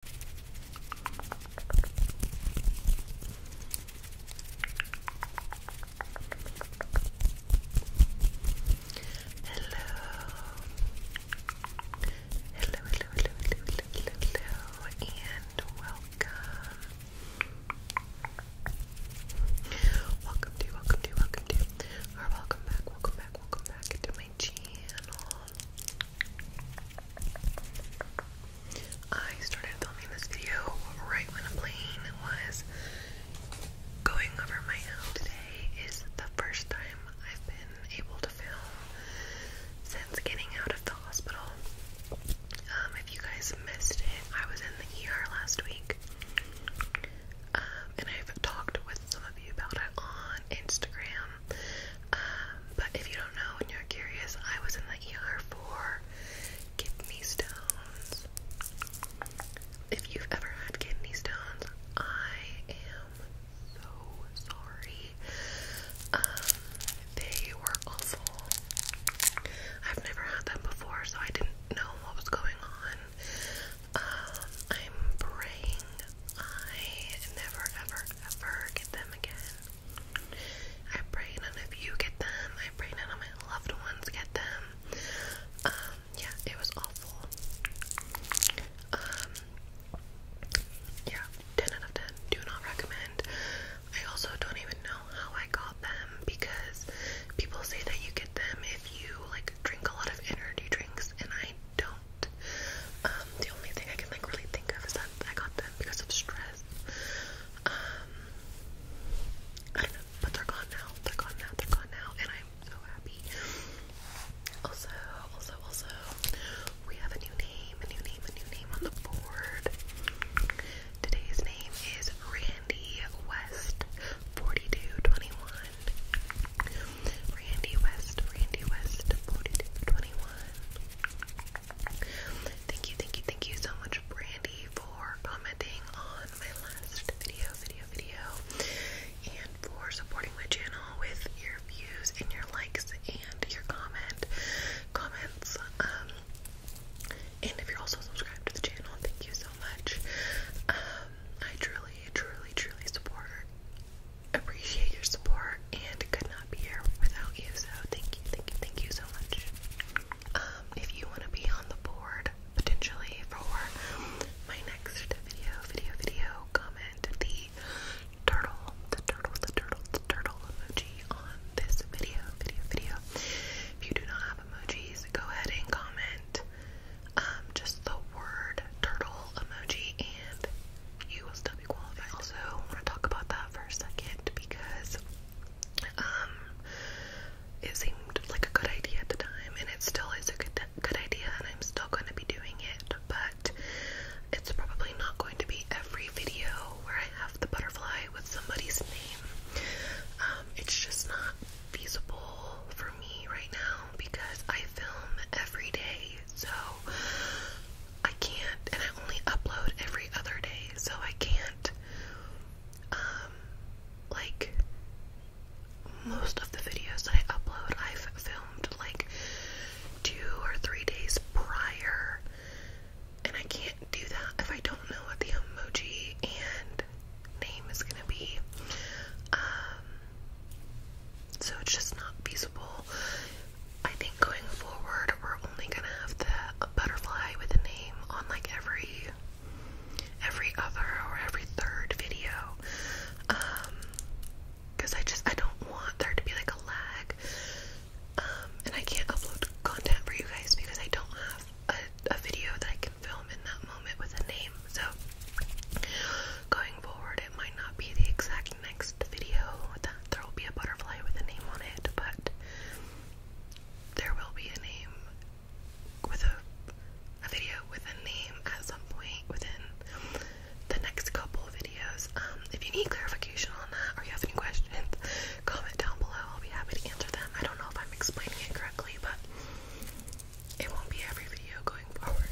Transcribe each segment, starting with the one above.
hello, hello, hello, hello, hello, and welcome. Welcome to, welcome to, welcome to, or welcome back, welcome back, welcome back to my channel. I started filming this video right when a plane was going over my house. Today is the first time I've been able to film since getting out of the hospital. Um, if you guys missed it, I was in the ER last week. Um, and I've talked with some of you about it on Instagram um, but if you don't know and you're curious, I was in the ER for kidney stones. If you've ever had kidney stones, I am so sorry. Um, they were awful. I've never had them before, so I didn't know what was going on. Um, I'm praying I never, ever, ever get them again. I pray none of you get them. I pray none of my loved ones get them. Um, yeah, it was awful. Um, yeah, 10 out of 10. Do not recommend. I also don't even know how I got them because people say that you get them if you like drink a lot of energy drinks, and I don't um, the only thing I can like really think of is that I got them because of stress. Um, but they're gone now. They're gone now. They're gone now, and I'm so happy. Also, also, also, we have a new name, a new name, a new name on the board. Today's name is Randy West, forty-two twenty-one. Randy West, Randy West, forty-two twenty-one. Thank you, thank you, thank you so much, Brandy, for commenting on my last video, video, video, and for supporting my channel with your views and your likes and your comment comments. Um, and if you're also subscribed to the channel, thank you so much. Um, I truly, truly, truly support appreciate your support and could not be here without you. So thank you, thank you, thank you so much. Um, if you want to be on the board potentially for my next video, video, video, comment the turtle, the turtle, the turtle, the turtle emoji on this video, video, video. If you do not have emojis, go ahead and comment um, just the word turtle emoji and you will be Also, I want to talk about that for a second because um, it seemed like a good idea at the time, and it still is a good good idea, and I'm still going to be doing it. But it's probably not going to be every video where I have the butterfly with somebody's name. Um, it's just not feasible for me right now because I film every day, so I can't, and I only upload every other day, so I can't, um, like, most of the videos that I upload, I've filmed like two or three days prior, and I can't do that if I don't know what the emoji and name is gonna be. Um, so it's just not feasible. I think going forward, we're only gonna have the butterfly with a name on like every every other or every third video. Um, because I just I don't want there to be like a lag. Um, and I can't upload content for you guys because I don't have a, a video that I can film in that moment with a name. So going forward, might not be the exact next video that there will be a butterfly with a name on it, but there will be a name with a, a video with a name at some point within the next couple videos. Um, if you need clarification on that or you have any questions, comment down below. I'll be happy to answer them. I don't know if I'm explaining it correctly, but it won't be every video going forward.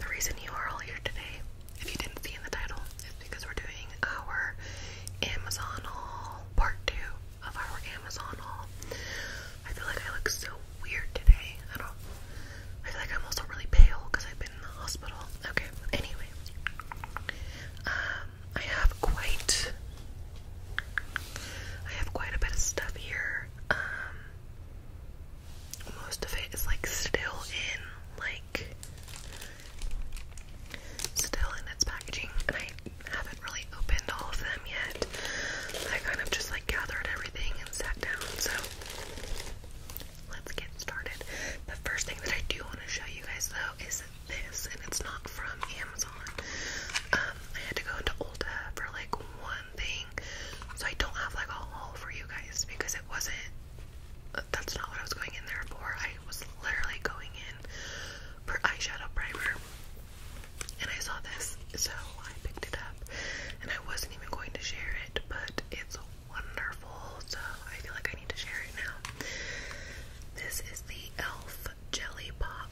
The reason you are all here today if you didn't see in the title, it's because we're doing our Amazon part two of our Amazon I feel like I look so weird today. I don't. I feel like I'm also really pale because I've been in the hospital. Okay. Anyway, um, I have quite. I have quite a bit of stuff here. Um, most of it is like still in like still in its packaging, and I haven't really opened all of them yet. I kind of just like gathered everything and sat down, so let's get started. The first thing that I do want to show you guys though is this, and it's not from Amazon. Um, I had to go into Ulta for like one thing, so I don't have like a haul for you guys because it wasn't that's not what I was going in there for. I was literally going in for eyeshadow primer, and I saw this, so I picked it up. And I wasn't even going to share it, but it's wonderful, so I feel like I need to share it now. This is the Elf Jelly Pop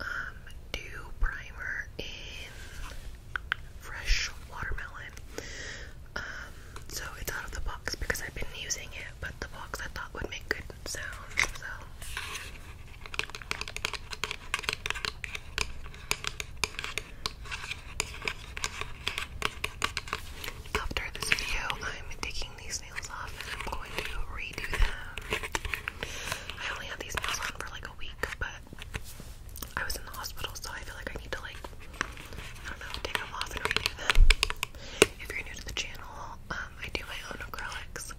um, Dew Primer in Fresh Watermelon. Um, so it's out of the box because I've been using it, but the box I thought would make good sounds, so. After this video, I'm taking these nails off and I'm going to redo them. I only had these nails on for like a week, but I was in the hospital, so I feel like I need to like I don't know, take them off and redo them. If you're new to the channel, um, I do my own acrylics.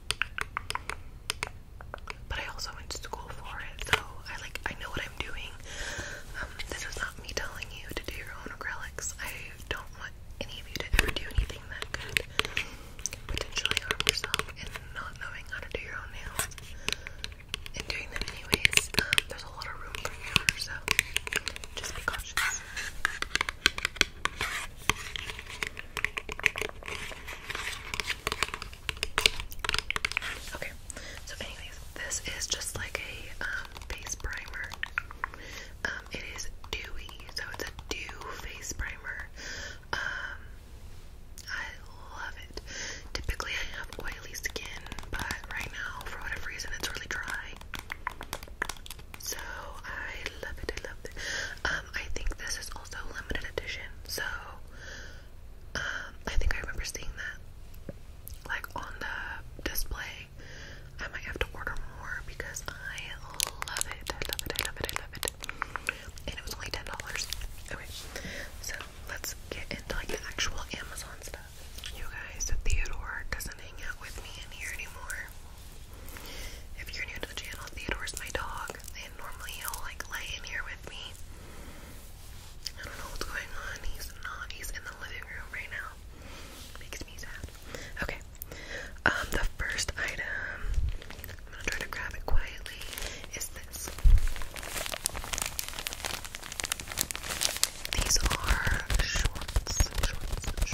But I also went to school for it, so I like I know what I'm doing. Um, this is not me telling you to do your own acrylics. I don't want any of you to ever do anything that could potentially harm yourself and not knowing how to do your own nails. And doing them anyways. Um, Okay, so anyways, this is just like a base um, primer. Um, it is dewy, so it's a dew face primer. Um, I love it. Typically, I have oily skin, but right now, for whatever reason, it's really dry. So I love it, I love it. Um, I think this is also limited edition, so um, I think I remember seeing that like on the display. I might have to order more because I love it. I love it, I love it, I love it. And it was only ten dollars. Okay. So let's get into like the actual Amazon stuff. You guys, Theodore doesn't hang out with me in here anymore. If you're new to the channel, Theodore's my dog, and normally he'll like lay in here with me. I don't know what's going on. He's not. He's in the living room right now. Makes me sad. Okay. Um, the first item I'm gonna try to grab it quietly is this. These are shorts, shorts, shorts.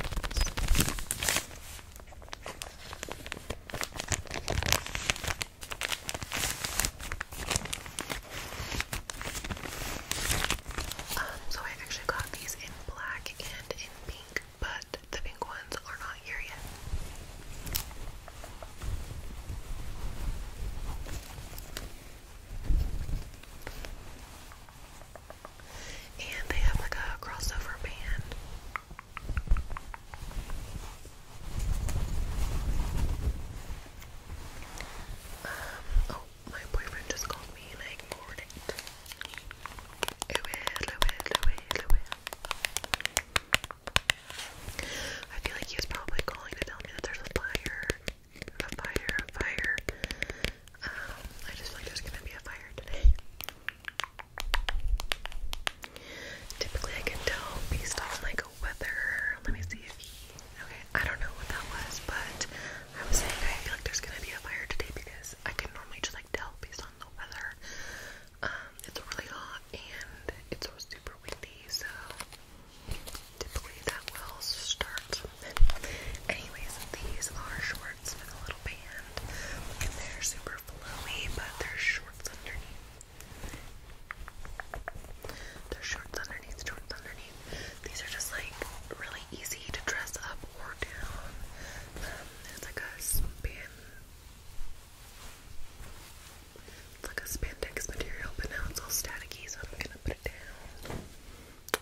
Um, so I actually got these in black and in pink, but the pink ones are not here yet. And they have like a crossover band. Um, oh, my boyfriend just called me and I ignored it. Louis, Louis, I feel like he was probably calling to tell me that there's a fire a fire, a fire. Um, I just feel like there's gonna be a fire today. Typically, I can tell based on like weather. Let me see if he. Okay, I don't know what that was, but I was saying I feel like there's gonna be a fire today because I can normally just like tell based on the weather. Um, it's really hot and it's so super windy, so typically that will start. Anyways, these are shorts with a little band, they're super flowy, but there's shorts underneath. There's shorts underneath, shorts underneath. These are just like really easy to dress up or down. Um, it's like a span. It's like a spandex material, but now it's all staticky, so I'm gonna put it down.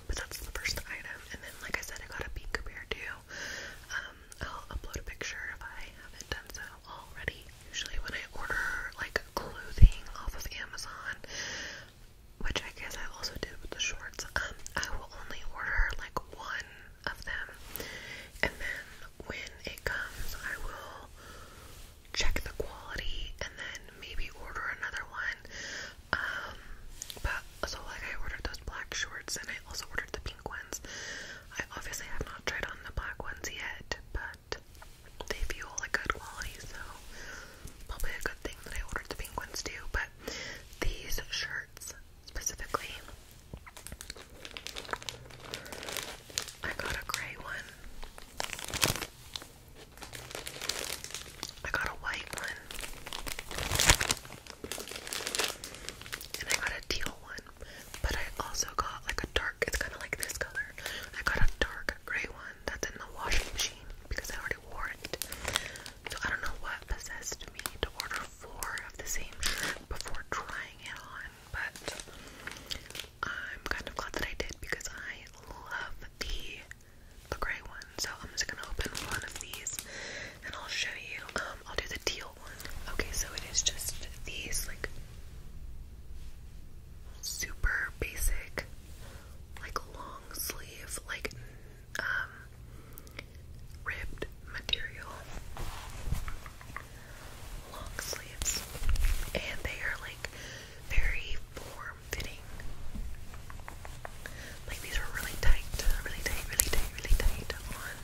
But that's the first item. And then, like I said, I got a pink beer too. Um, I'll upload a picture if I haven't done so already. Usually, when I order like clothing off of Amazon, which I guess I also did with the shorts, um, I will only order like one of them. And then when it comes, I will check the quality and then maybe order another one. Um, but so like I ordered those black shorts and I also ordered the pink ones. I obviously have not tried on the black ones yet, but they feel like good quality, so probably a good thing that I ordered the pink ones too. But these shirts specifically, I got a gray one. I got a white one. And I got a teal one. But I also got like a dark, it's kind of like this color. I got a dark gray one that's in the washing machine because I already wore it. So I don't know what possessed me to order four of the same before trying it on, but I'm kind of glad that I did because I love the the gray one. So I'm just gonna open one of these and I'll show you. Um, I'll do the teal one. Okay, so it is just these like super basic, like long sleeve, like um, ribbed material long sleeves, and they are like very form fitting. Like these were really tight, really tight, really tight, really tight on.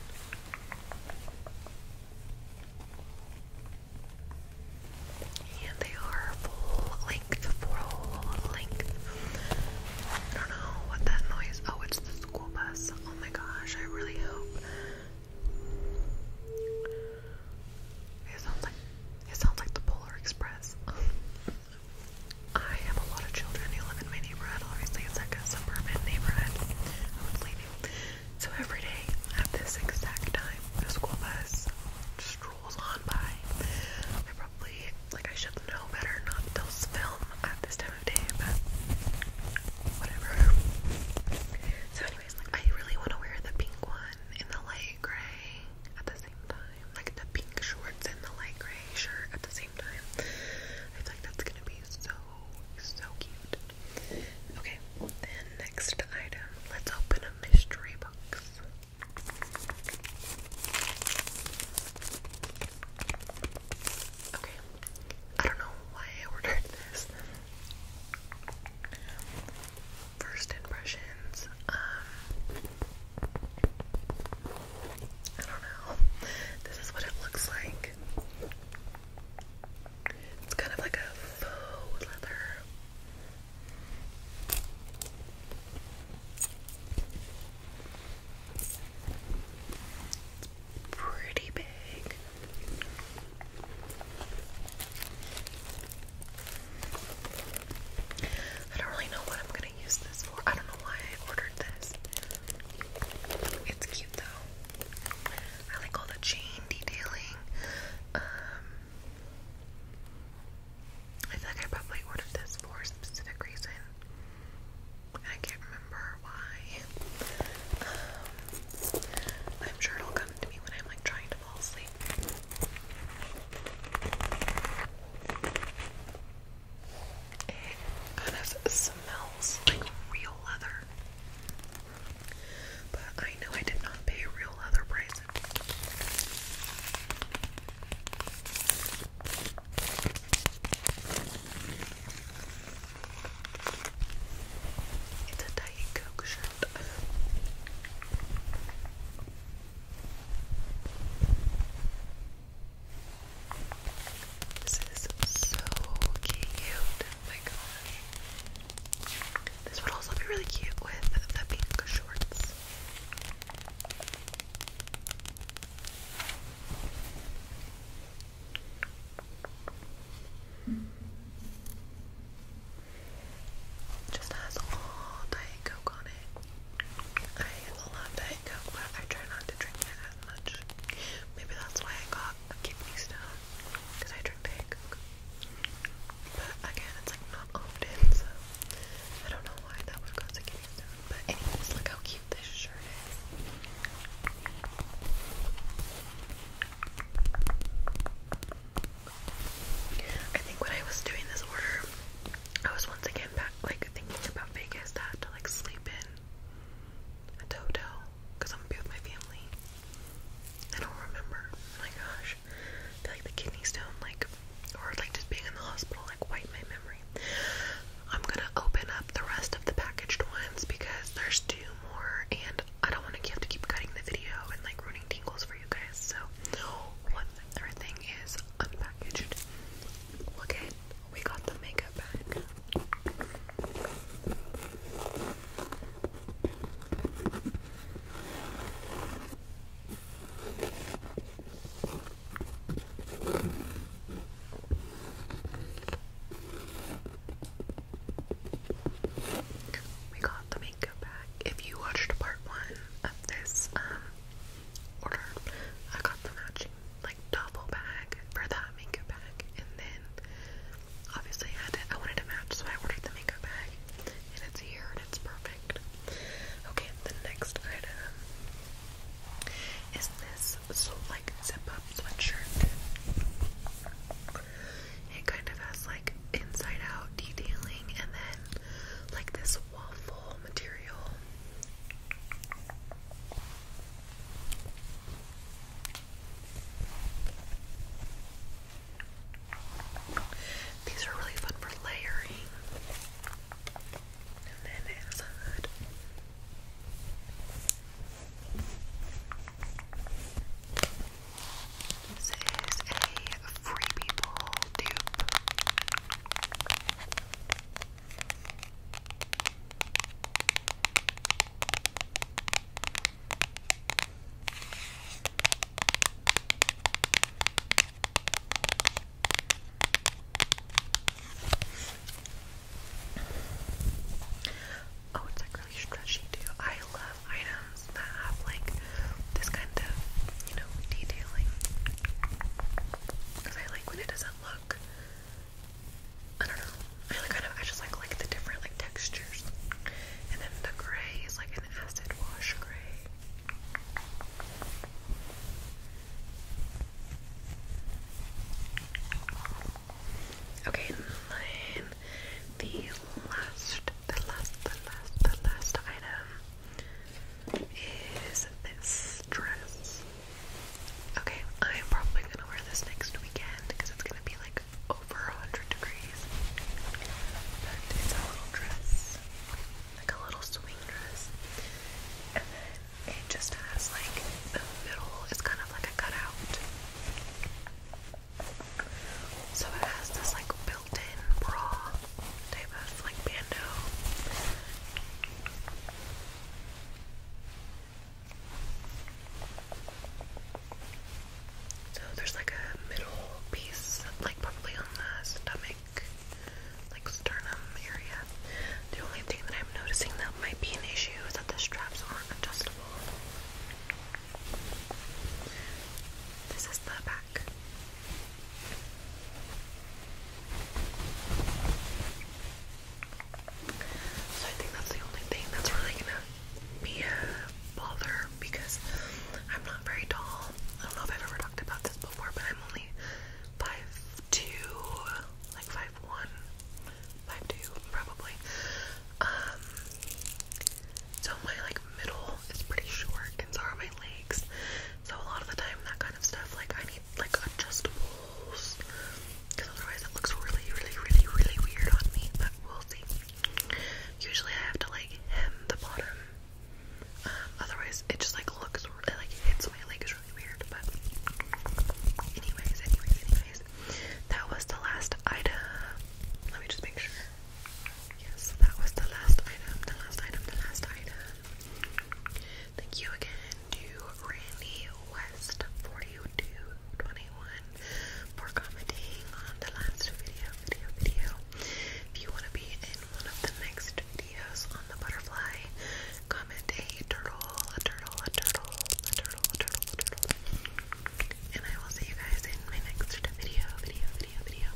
And they are full length, full length. I don't know what that noise. Oh, it's the school bus. Oh my gosh, I really hope. It sounds like it sounds like the Polar Express. I have a lot of children who live in my neighborhood. Obviously, it's like a suburban neighborhood. So every day at this exact time, the school bus strolls on by. I probably like I should know better not to film at this time of day, but whatever. So, anyways, like I really want to wear the pink one and the light gray at the same time like the pink shorts and the light gray shirt at the same time. I feel that's gonna be so, so cute. Okay, then next item, let's open a mystery box. Okay, I don't know why I ordered this. First impressions, um, I don't know. This is what it looks like. It's kind of like a faux leather. It's pretty big. I don't really know what I'm gonna use this for. I don't know why I ordered this. It's cute though. I like all the chain detailing. Um, I feel I probably ordered this for a specific reason. I can't remember why. Um, I'm sure it'll come to me when I'm like trying to fall asleep. It kind of smells like real leather. But I know I did not pay real leather price. It's a Diet Coke shirt. This is so cute. Oh my gosh. This would also be really cute with the pink shorts. Just has all Diet Coke on it. I love that but I try not to drink it as much. Maybe that's why I got a kidney stone, because I drink Diet But again, it's like not often, so I don't know why that would cause a kidney stone. But anyways, look how cute this shirt is. I think when I was doing this order, I was once again like thinking about Vegas, to have to like sleep in a hotel because I'm gonna be with my family. I don't remember. Oh my gosh, like the kidney stone, like, or like just being in the hospital, like wiped my memory. I'm gonna open up the rest of the packaged ones because there's two more, and I don't want to have to keep cutting the video and like ruining tingles for you guys. So, one other thing is unpackaged. Okay, we got the makeup bag. We got the makeup bag. If you watched part one of this um order. I got the matching like double bag for that makeup bag, and then obviously I wanted to match, so I ordered the makeup bag, and it's here and it's perfect. Okay, the next item is this so like zip-up sweatshirt. It kind of has like inside-out detailing, and then like this waffle material. These are really fun for layering. And then it a hood. This is a Free People dupe. Oh, it's like really stretchy too. I love items that have like this kind of, you know, detailing because I like when it doesn't look. I don't know. I like kind of. I just like like the different like textures, and then the gray is like an acid wash gray. Okay, the last, the last, the last, the last item is this dress. Okay, I'm probably gonna wear this next weekend because it's gonna be like over 100 degrees. it's a little dress, like a little swing dress. And then it just has like the middle is kind of like a cutout. So it has this like built in bra type of like bando. So there's like a middle piece, like probably on the stomach, like sternum area. The only thing that I'm noticing that might be an issue is that the straps aren't adjustable. This is the back. So I think that's the only thing that's really gonna be a bother because I'm not very tall. I don't know if I've ever talked about this before, but I'm only five two, like five one, five two probably. Um, so my like middle is pretty short, and so are my legs. So a lot of the time, that kind of stuff, like I need like adjustables because otherwise it looks really, really, really, really weird on me. But we'll see. Usually I have to like hem the bottom, um, otherwise it just like looks like hits my legs really weird. But anyways, anyways, that was the last item. Let me just make sure. Yes, that was the last item. The last item. The last item. Thank you again to Randy West 4221 for commenting on the last video, video, video. If you want to be in one of the next videos on the butterfly, comment a turtle, a turtle, a turtle, a turtle, a turtle, a turtle. And I will see you guys in my next video, video, video, video.